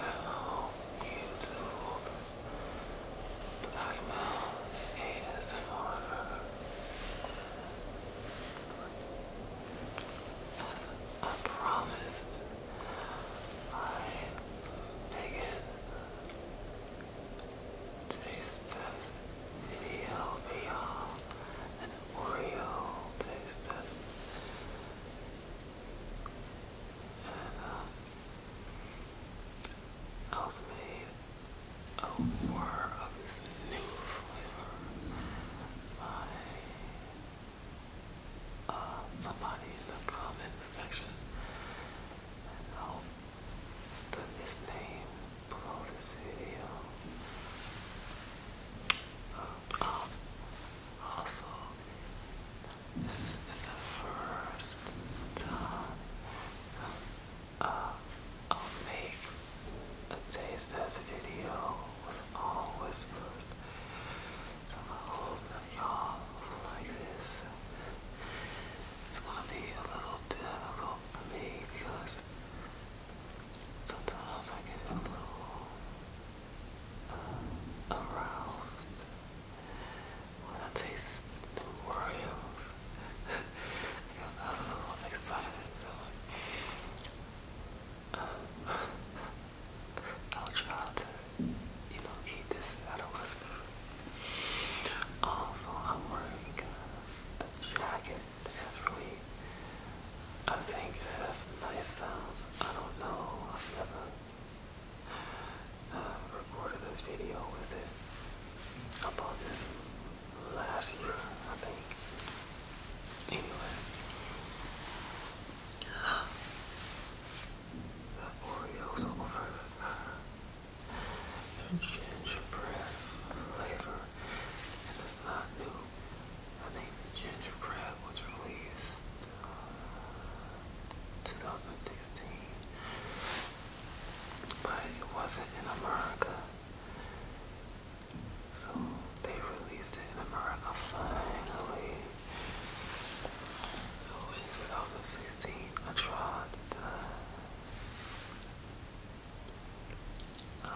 Hello, YouTube. Blackmail ASMR. As I promised, I begin Taste test VLVR and Oreo taste test. And uh, I was made aware of this new flavor by uh, somebody in the comment section. And I hope put his name below this video. also, this is the first time uh, I'll make a taste video with all whispers. So I hope that y'all like this it's gonna be a little difficult for me because sometimes I get a little uh, aroused when I taste Oreos. I got a little excited, so uh, I'll try to you know, eat this out of his Also, I'm wearing a jacket that's really, I think it has nice sounds. I don't know, I've never uh, recorded a video with it. I bought this last year, I think. Anyway. The Oreos over their gingerbread flavor and it's not new. I think gingerbread was released uh, 2016, but it wasn't in America. So they released it in America finally. So in 2016, I tried the uh,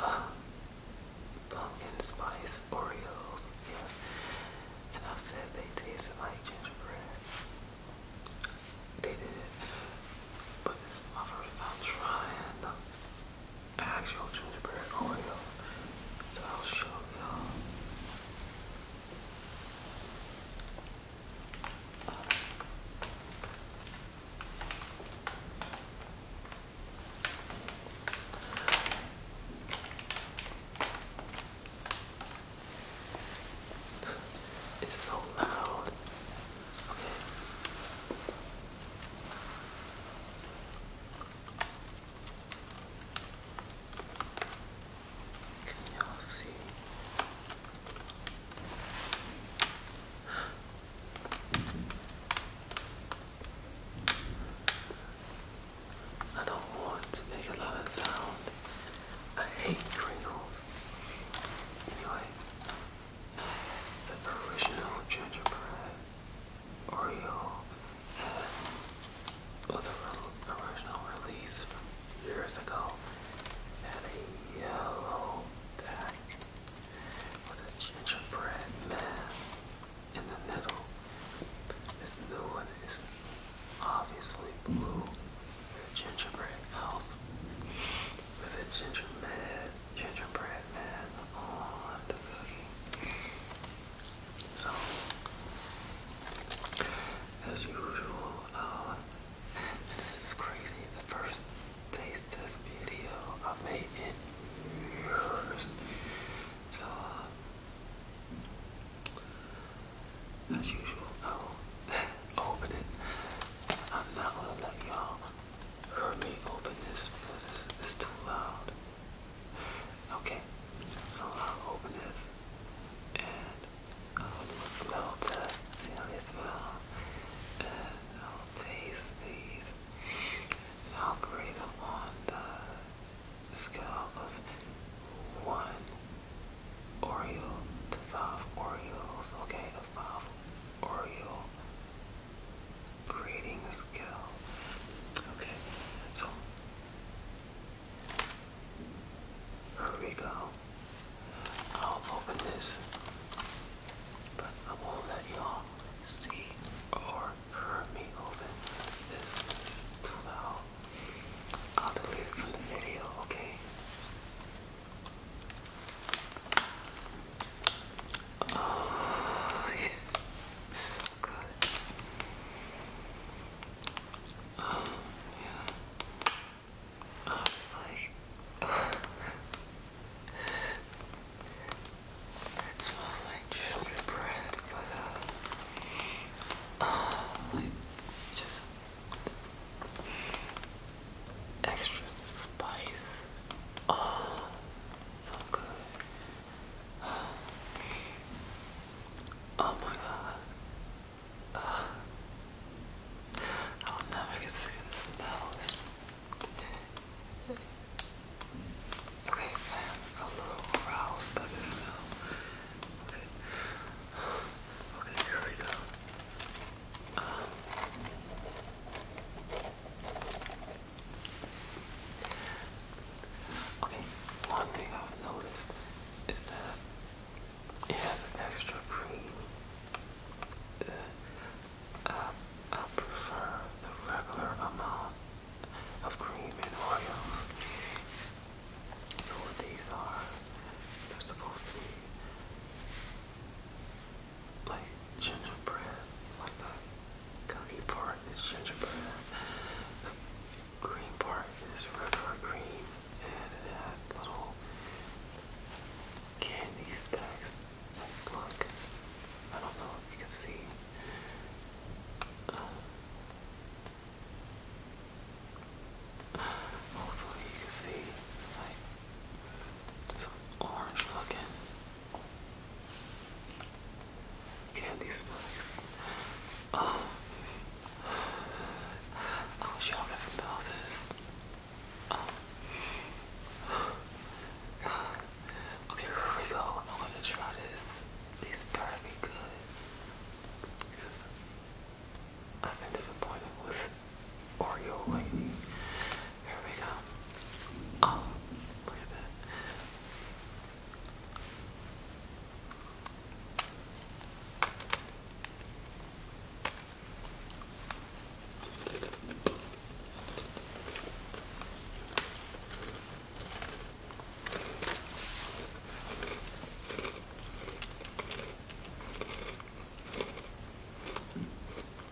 uh, pumpkin spice Oreos, yes. And I said they tasted like gingerbread. They did. But this is my first time trying the actual gingerbread Oreos. So I'll show y'all it's so loud. Okay. Can you see? I don't want to make a lot of sound. I hate crinkles. Anyway, the original gingerbread Oreo and original release from years ago had a yellow back with a gingerbread man in the middle. This new one is obviously blue with gingerbread house with a gingerbread gingerbread man on the cookie. So, as usual, uh, this is crazy. The first taste test video I've made in years. So, uh, as usual, I'll open it. I'm not gonna let y'all hear me open this because it's too loud. Okay, so I'll open this and I'll do a smell test, see how they smell. And I'll taste these. I'll grade them on the scale of one Oreo to five Oreos. Okay, a five Oreo creating a Okay, so here we go. I'll open this, but I won't let y'all see or hear me open this. too loud. I'll delete it from the video, okay? Oh, it's so good. Oh, yeah. Oh, it's like. It smells like gingerbread, uh, oh, like, just extra spice. Oh, so good. Oh my god. I'll never get sick of the Okay, a little aroused by the smell. Okay. Okay, here we go. Um, Okay, one thing I've noticed is that it has an extra cream. Uh, I, prefer the regular amount of cream in Oreos. So these are, they're supposed to be like gingerbread, like the cookie part is gingerbread, green part is regular cream, and it has little candy stacks. look, I don't know if you can see. Hopefully you can see like some orange looking Candy smokes. Oh. I wish you could smell this. Oh. Okay, here we go. I'm gonna try this. This These better be good. Because I've been disappointed with Oreo lately. Here we go. Oh, look at that.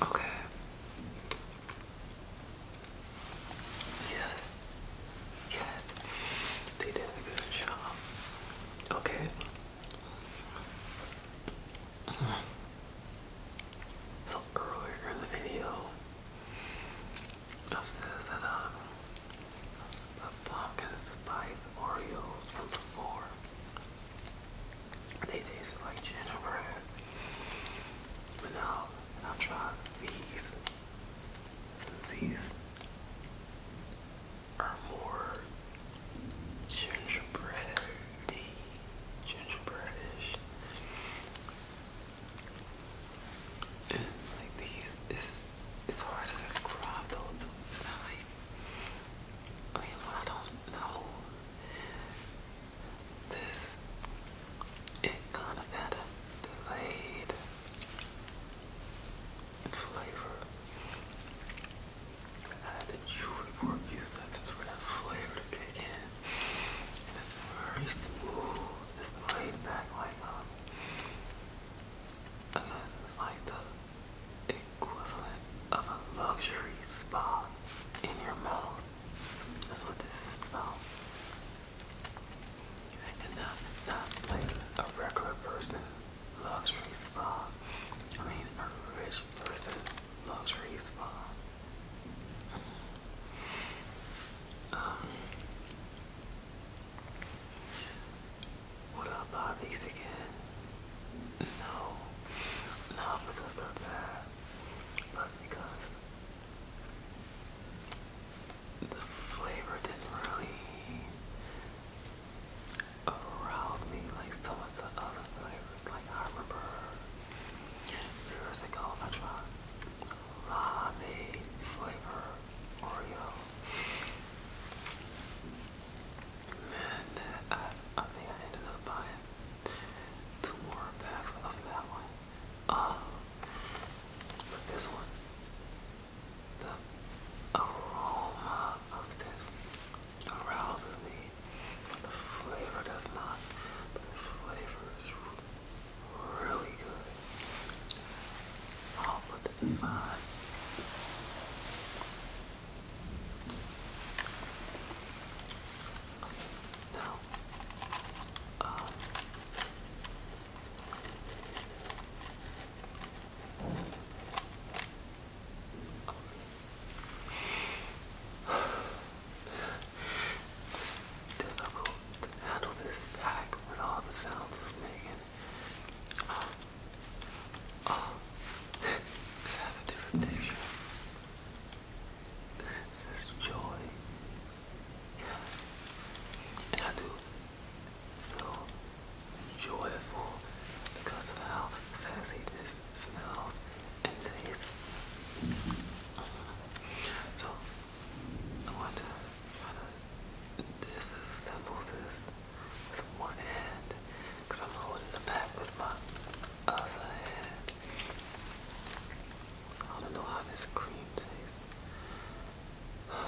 Okay. Yes. Yes. They did a good job. Okay. So earlier in the video, I said that um, the pumpkin spice Oreos from before they taste like gingerbread. But now I've tried these. These are more gingerbready, gingerbreadish. And like these is it's hard to describe the Too. It's I mean, I don't know this. It kind of had a delayed flavor. I had to chew it for a few seconds for that flavor to kick in. it's very smooth. It's laid back like um, it's like the equivalent of a luxury spa in your mouth. That's what this is about. I not blame a regular person luxury spa. I mean a rich person luxury spa. Um, what about these again? No. Not because they're but because the flavor didn't really arouse me like some of the other flavors. Like I remember years ago I tried limeade flavor Oreo. And then I, I think I ended up buying two more packs of that one. Um, but this one, the aroma of this arouses me. The flavor does not, but the flavor is really good. I'll put this aside. Now, um, this difficult to handle this pack with all the sounds listening in this has a different texture. This is joy. Yes. I do feel joyful because of how sassy this smells and tastes. So I want to disassemble this with one hand because I'm holding the bat with my other hand. I don't know how this cream tastes.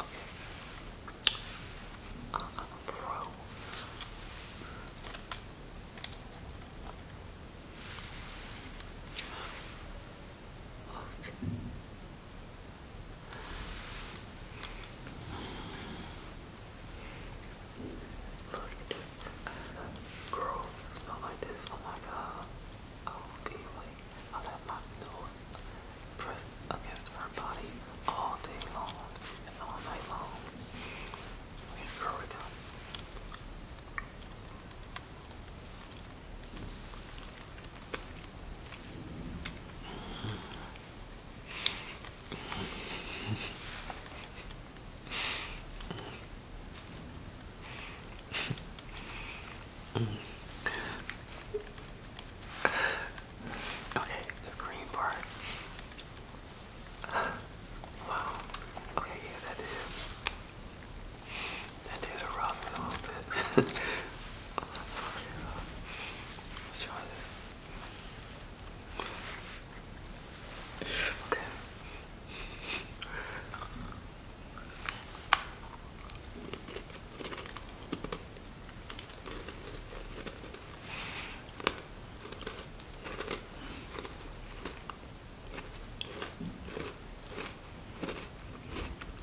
okay. Uh, I'm a pro. Look at Girl, smell like this. Oh my god. I will be like, I'll my nose pressed against her body all day long and all night long. Okay, girl, we go. Okay, the green part. Wow. Okay, yeah, that is. That did arouse me a little bit. Okay.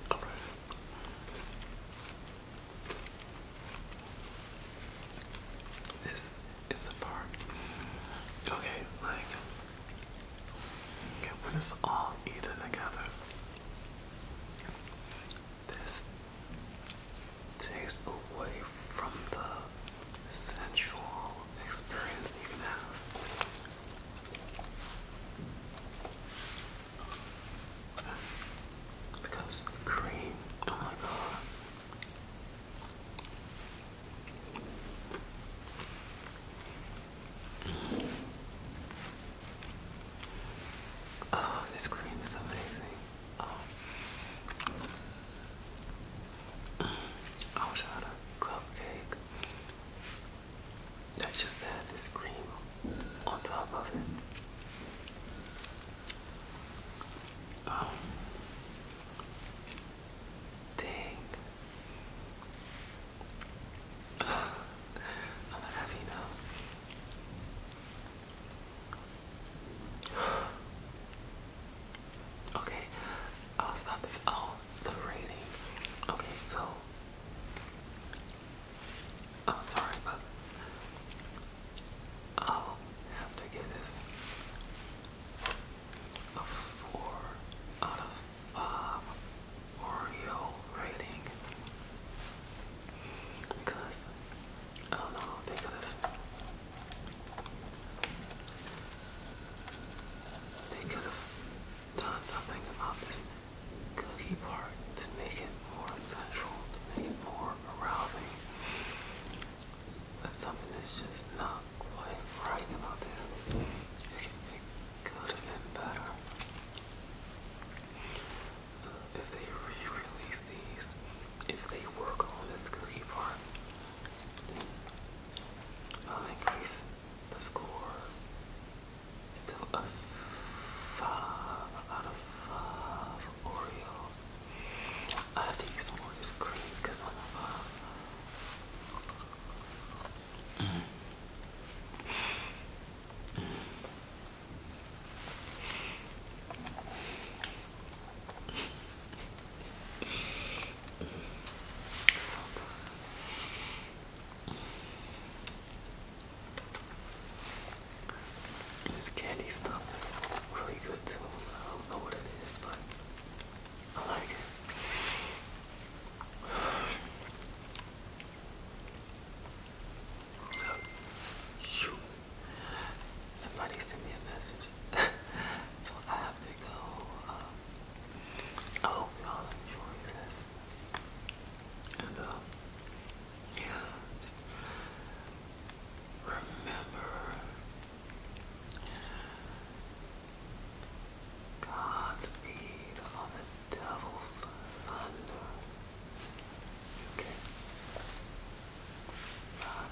All right. This is the part. Okay, like, when it's all eaten together, this takes away from the sensual experience you have. Because cream, oh my god. Oh, this cream is amazing. Oh. Mm. I wish I had cupcake I just add this cream on top of it. Um, dang. I'm not happy now. okay, I'll stop this. Oh, the rating. Okay, so I'm oh, sorry, but I'll have to give this a 4 out of 5 Oreo rating. Because, I don't know, they could have. They could have done something about this cookie part to make it more sensual, to make it more arousing. But something that's just not quite right about this. It, it could have been better. So if they re-release these, if they work on this cookie part, I'll increase the score it's a, a five out of five Oreos. I have to use some because I'm a So this candy stuff is really good too. I don't know what it is, but I like it. Shoot. Somebody sent me a message. so I have to go. Um, I hope y'all enjoy this. And, uh, yeah, just remember Godspeed on the devil's thunder. Okay. Bye.